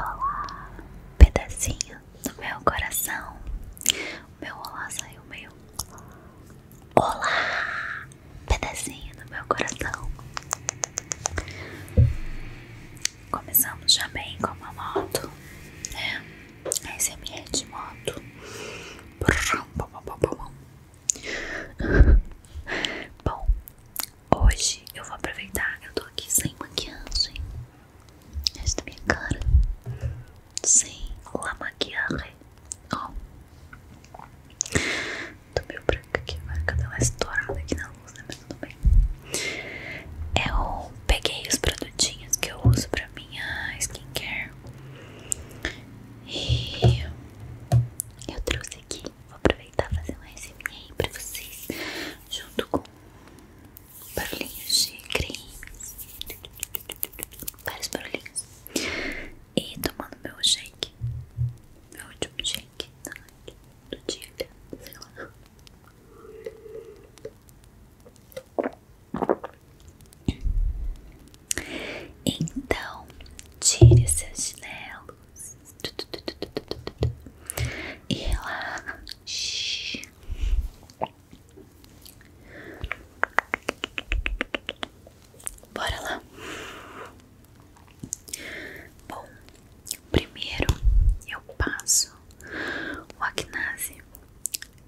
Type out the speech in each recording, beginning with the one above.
Olá, pedacinho do meu coração. meu olá saiu meio. Olá, pedacinho do meu coração. Começamos já bem com uma moto, né? Esse é de moto. Bom, Hoje eu vou aproveitar, eu tô aqui sem maquiagem. Esta minha cara. Sem la maquiagem. Ó. Tô meio branca aqui agora, que eu dei estourada aqui na luz, né? Mas tudo bem. Eu peguei os produtinhos que eu uso pra minha skincare. E eu trouxe aqui vou aproveitar e fazer um SMA pra vocês, junto com barulhinhos de creme, vários barulhinhos, e tomando meu shake, meu último shake da noite, do dia, sei lá. Então, tire seus chinelos, e shhh, Bora lá. Bom, primeiro eu passo o Acnase.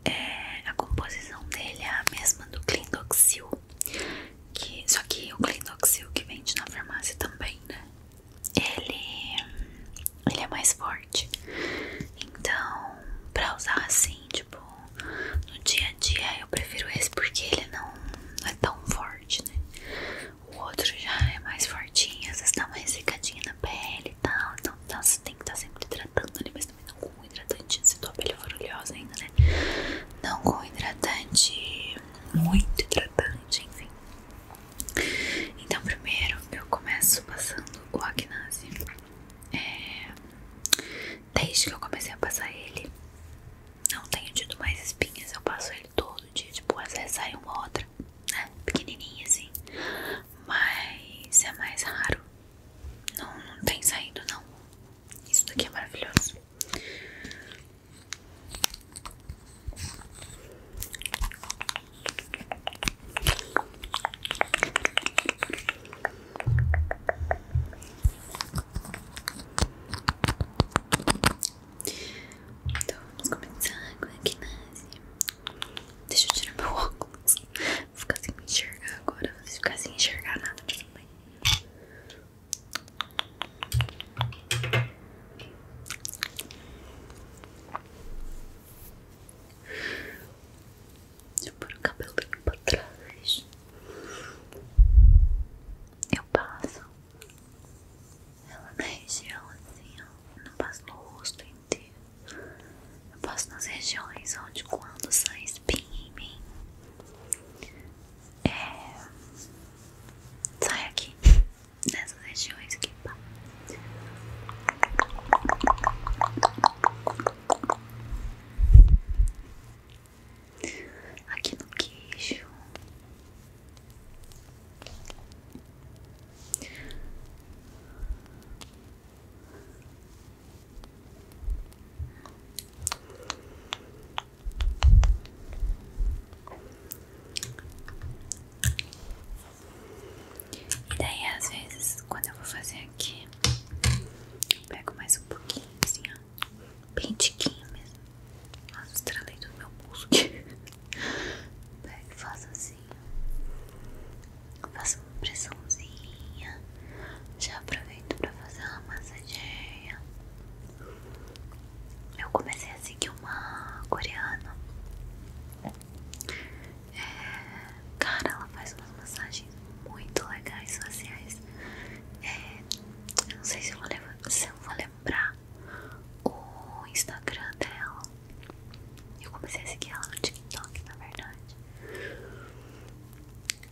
É, a composição dele é a mesma do Clindoxil, que, só que o Clindoxil que vende na farmácia também, né? ele, ele é mais forte. Então, pra usar assim, tipo, no dia a dia, eu prefiro esse porque ele não, é tão forte, né? O outro já é mais fortinho, às vezes tá mais uma na pele e tal. Então, tá, você tem que estar tá sempre hidratando ali, mas também não com um hidratante se tua pele for oleosa ainda, né? Não com hidratante, muito hidratante, enfim. Então, primeiro eu começo passando o Agnase. É, desde que eu comecei a passar ele, não tenho tido mais espinhas. Eu passo ele todo dia, tipo, às vezes sai uma outra, né, Pequenininha assim. Mas é mais raro. Não, não tem saído, não. Isso daqui é maravilhoso. Então vamos começar com a quinase. Deixa eu tirar meu óculos. Vou ficar sem me enxergar agora. Vou ficar sem enxergar nada também. Deixa eu pôr o cabelinho pra trás. Eu passo ela na região assim, ó. Eu não passo no rosto inteiro. Eu passo nas regiões onde quando sai espinha em mim, é... Sai aqui nessas regiões aqui. Pá. Aqui no queixo. E daí, às vezes, quando eu vou fazer aqui, pego mais um pouquinho, assim, ó. Bem tiquinho mesmo. Nossa, estralei do meu pulso aqui. Pego e faço assim, ó. Faço uma pressãozinha. Já aproveito pra fazer uma massageia eu comecei a seguir uma coreana. É, cara, ela faz umas massagens muito legais sociais. É, eu não sei se eu, vou lembrar o Instagram dela. Eu comecei a seguir ela no TikTok, na verdade.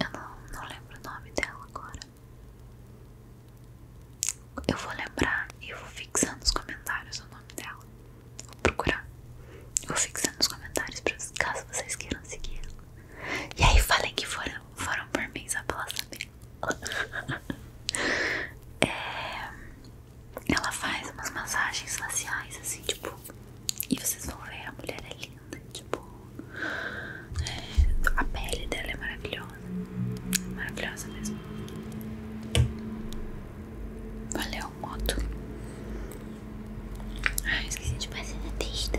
Eu não lembro o nome dela agora. Eu vou lembrar e vou fixando nos comentários é o nome dela. Vou procurar. Vou fixando nos comentários pra, caso vocês queiram seguir ela. E aí falem que foram, foram por mim só pra ela saber. É, ela faz umas massagens faciais assim, tipo. E vocês vão ver, a mulher é linda, tipo. É, a pele dela é maravilhosa. Maravilhosa mesmo. Valeu, moto. Ah, esqueci de fazer na testa.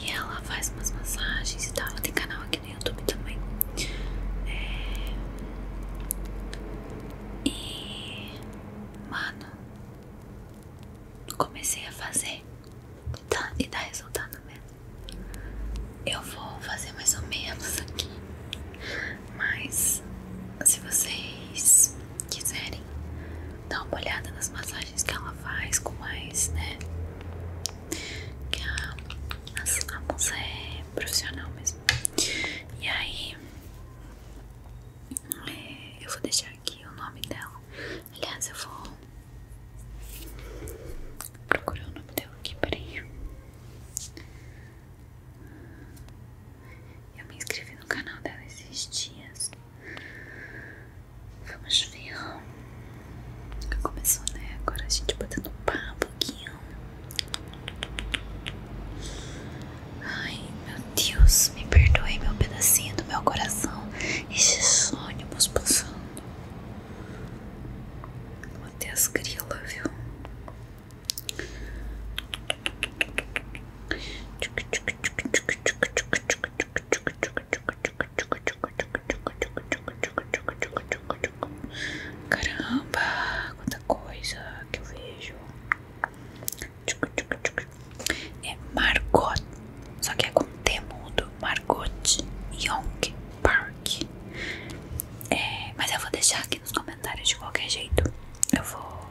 E ela faz umas massagens e tal. Ela tem canal aqui no YouTube também. É... E. Mano. Comecei a fazer Tá, e dá resultado mesmo. Eu vou fazer mais ou menos aqui. Mas se vocês quiserem dar uma olhada nas massagens que ela faz com mais, né? Que a, a, moça é profissional mesmo. E aí, é, eu vou deixar aqui o nome dela Aliás, eu vou procurar o nome dela aqui, peraí. Eu me inscrevi no canal dela esses dias. Vamos ver. Começou, né? Agora a gente botando papo aqui. Ai, meu Deus, me perdoe meu pedacinho do meu coração esses ônibus passando. Até as grilas, viu? Caramba, quanta coisa que eu vejo. Tchuc, tchuc, tchuc, é Margot, só que é com T mudo, Margot Young Park. É, mas eu vou deixar aqui nos comentários de qualquer jeito. Eu vou,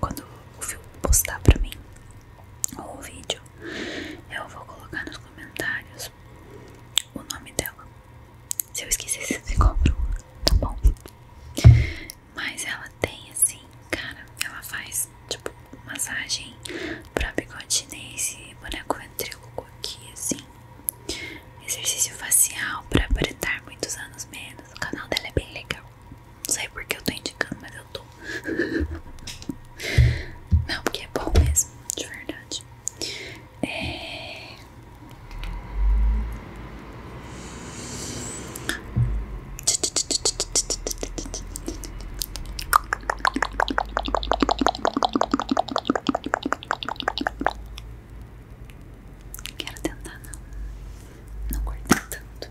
quando o filme postar pra mim ou o vídeo, eu vou colocar nos comentários o nome dela. Se eu esquecer, vocês cobram, tá bom? Mas ela tem assim, cara, ela faz tipo massagem pra bigode nesse boneco ventríloco aqui, assim. Exercício facial pra apretar muitos anos menos. O canal dela é bem legal. Não sei porque eu tô indicando, mas eu tô. Não, porque é bom mesmo, de verdade. É... Quero tentar não, não cortar tanto.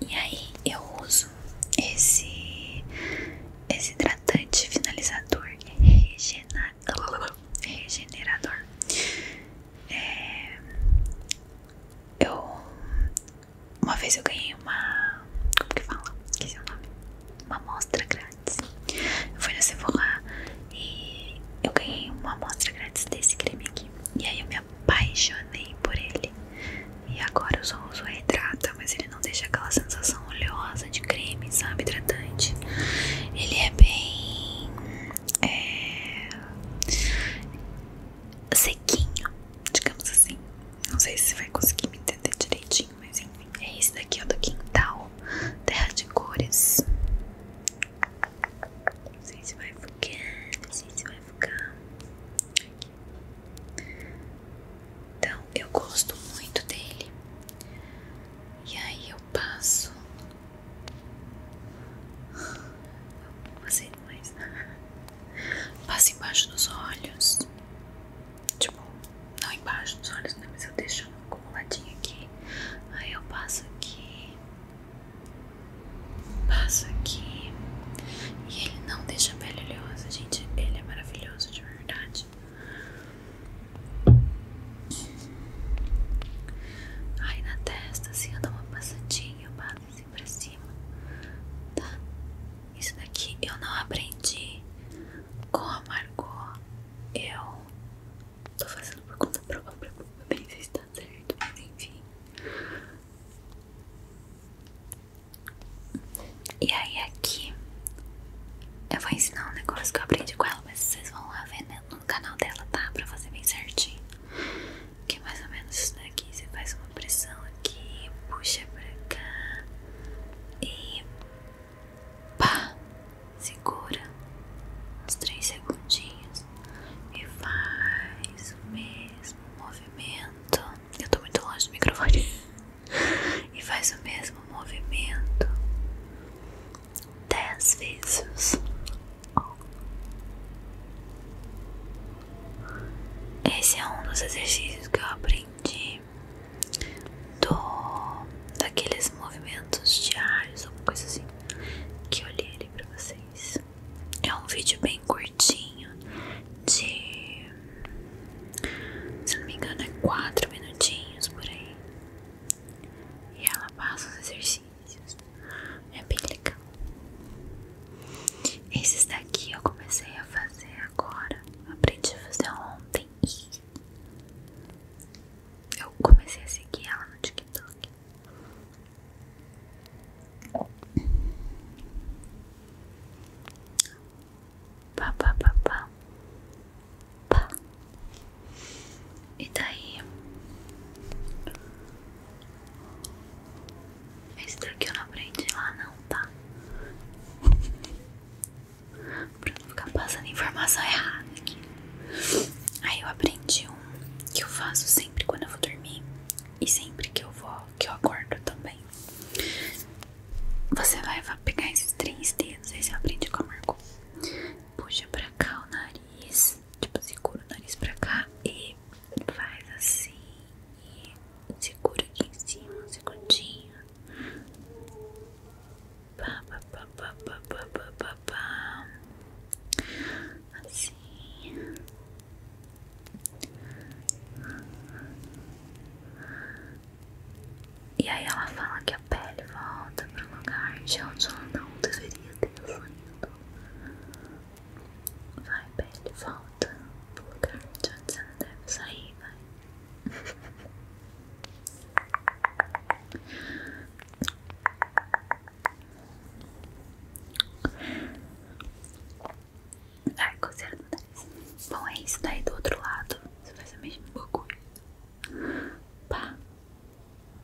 E aí eu uso esse, esse hidratante finalizador é regenerador. regenerador. É, eu uma vez eu ganhei uma. Como que fala? Esqueci o nome. Uma amostra grátis. Eu fui na Sephora e eu ganhei uma amostra grátis desse creme aqui. E aí eu me apaixonei por ele. E agora eu só uso a hidrata mas ele não deixa aquela sensação oleosa de creme, sabe? Hidratante. Ele é bem. É, sequinho, digamos assim. Não sei se você vai conseguir me entender direitinho, mas enfim. É esse daqui, ó, do Quintal Terra de Cores. Não sei se vai ficar, não sei se vai ficar. Então, eu gosto muito dele. E aí eu passo. Você passa embaixo dos olhos, tipo, não embaixo dos olhos, né? Mas eu deixo acumuladinho aqui, aí eu passo aqui, passo aqui, e ele não deixa a pele gente. Ele é maravilhoso de verdade. Aí na testa, assim, eu dou uma passadinha, eu passo pra cima, tá? Isso daqui eu não aprendi com a Margot. Eu tô fazendo por conta própria, nem ver se está certo, mas enfim. E aí, aqui eu vou ensinar um negócio que eu aprendi com ela, mas vocês vão lá ver né, no canal dela, tá? Pra fazer bem certinho. Que é mais ou menos isso daqui. Você faz uma pressão aqui, puxa pra cá e pá! Segura uns 3 segundinhos e faz o mesmo movimento. Eu tô muito longe do microfone. e faz o mesmo movimento. 10 vezes. Esse é um dos exercícios que eu aprendi do, daqueles movimentos diários, alguma coisa assim, que eu li ali pra vocês. É um vídeo bem curtinho, de. se não me engano, é 4 minutinhos por aí. E ela passa os exercícios. É bem legal. Esses daqui eu comecei a fazer agora. Aprendi a fazer ontem eu comecei a seguir ela no TikTok. Pá, pá, pá, pá. Pá. E daí esse daqui eu não aprendi lá não, tá? Pra não ficar passando informação errada aqui. Aí eu aprendi um que eu faço sempre quando eu vou dormir. E sempre que eu vou, que eu acordo também. Você vai, pegar esses três dedos, esse eu aprendi com a Marco. Puxa pra cá o nariz tipo, segura o nariz pra cá e faz assim. E segura aqui em cima um segundinho. Pá, pá, pá, pá, pá, pá, pá, pá, pá. Assim. E aí ela fala que a pele volta pro lugar de onde ela não deveria ter sonhado Vai, pele, volta pro lugar de onde você não deve sair, vai. Ai, coceira no nariz. Bom, é isso. Daí do outro lado, você faz a mesma bagunça Pá.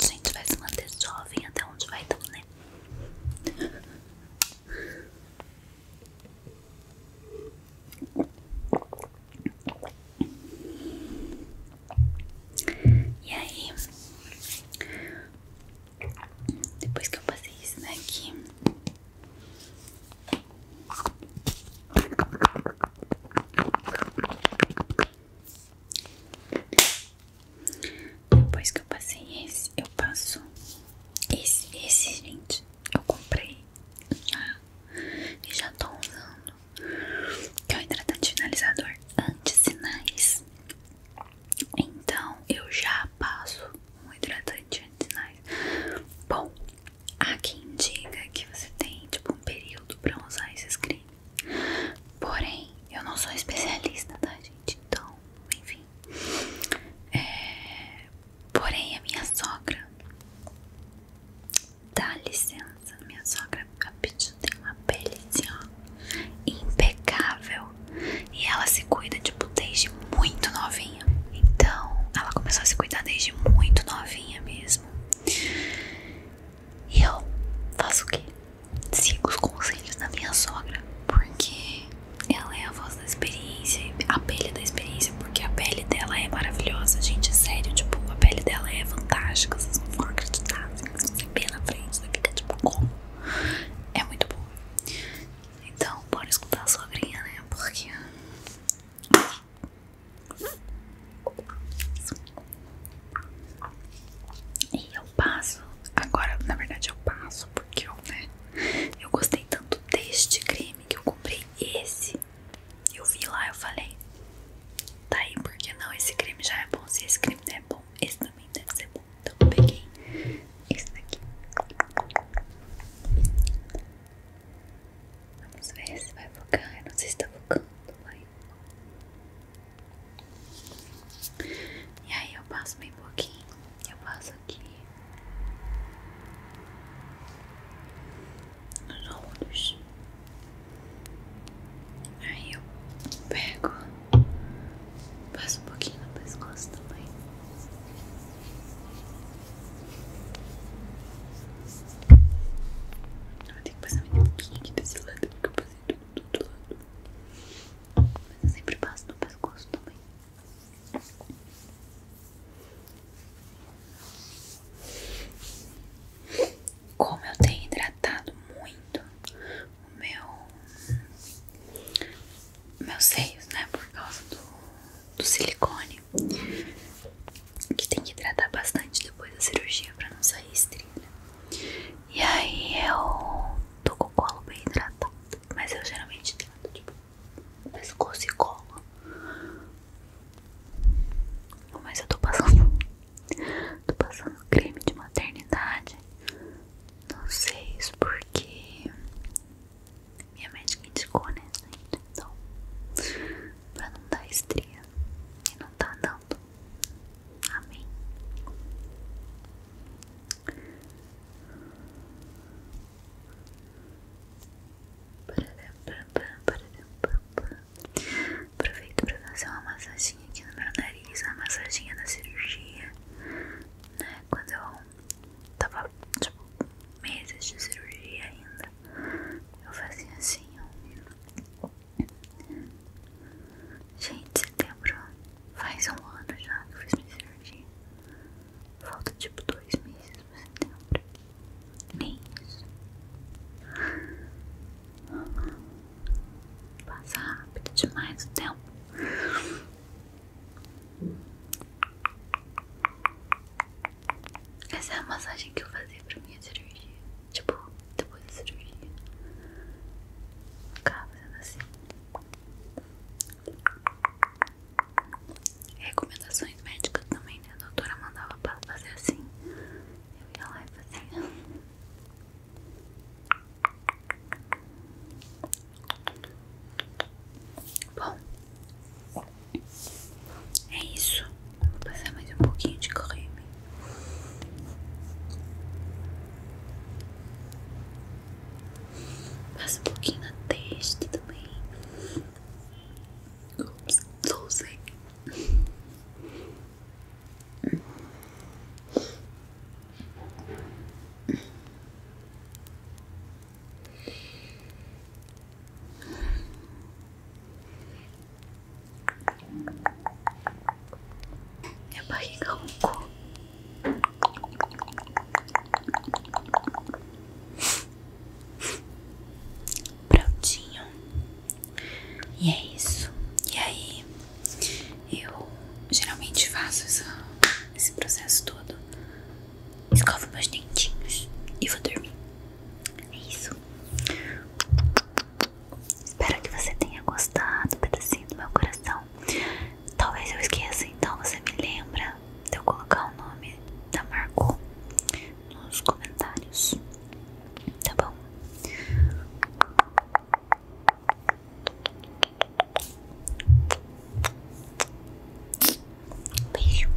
A gente vai se manter jovem até onde vai dar, né? E aí, depois que eu passei isso daqui, depois que eu passei esse, eu passo esse, esse, gente. Eu comprei e já tô usando. Que é o hidratante finalizador anti-sinais. Então eu já passo um hidratante anti-sinais. Bom, há quem diga que você tem tipo um período pra usar esses cremes. Porém, eu não sou especialista, tá, gente? Então, enfim. É, porém, a minha sogra. Dá licença, minha sogra rapidinho tem uma pele assim, ó, impecável. E ela se cuida, tipo, desde muito novinha. Então, ela começou a se cuidar desde muito novinha mesmo. E eu faço o quê? Sigo os conselhos da minha sogra, porque ela é a voz da experiência, a pele da experiência, porque a pele dela é maravilhosa, gente, é sério, tipo, a pele dela é fantástica, vocês não vão acreditar, vocês vão ver na frente, você fica tipo, como? É muito boa. Então, bora escutar a sogrinha, né, porque... E eu passo, agora na verdade eu passo porque eu, né, eu gostei tanto deste creme que eu comprei esse. Eu vi lá, eu falei, tá aí, porque não? Esse creme já é bom, se esse creme não é bom, esse também deve ser bom. Então eu peguei esse daqui. Vamos ver se vai focar, eu não sei se tá focando, vai. E aí eu passo bem pouquinho, eu passo aqui nos ombros. Aí eu pego, passo um pouquinho no pescoço também. Eu vou ter que passar minha pouquinho aqui desse lado porque eu passei do mas eu sempre passo no pescoço também. Como eu tenho hidratado muito o meu meus seios, né? Por causa do, do silicone. Que tem que hidratar bastante depois da cirurgia pra não sair estria. E aí eu tô com o colo bem hidratado. Mas eu geralmente hidrato tipo pescoço e colo. Mas eu tô passando. Tô passando creme de maternidade. Não sei isso porque minha médica indicou, né, gente? Então, pra não dar estria. E não tá dando. Amém. Aproveito para fazer uma massaginha aqui no meu nariz, uma massaginha da cirurgia, né? Quando eu tava, tipo, meses de cirurgia ainda, eu fazia assim, um, Gente, setembro faz um ano já que eu fiz minha cirurgia. Falta tipo dois meses pra setembro. Nem isso. Passa rápido demais o tempo. Essa é a massagem que eu fazia pra minha cirurgia. Tipo, depois da cirurgia. Ficava fazendo né, assim. Recomendações médicas também, né? A doutora mandava pra fazer assim. Eu ia lá e fazia. Bom, é isso. Vou passar mais um pouquinho de creme. Passa um pouquinho na testa também. Ups, sou minha barriga roncou. É Prontinho. E é isso. E aí, eu geralmente faço esse processo todo. Escovo meus dentinhos e vou dormir. É isso. Espero que você tenha gostado, pedacinho do meu coração. Talvez eu esqueça, então você me lembra de eu colocar o nome da Marco nos comentários. Tá bom? Beijo.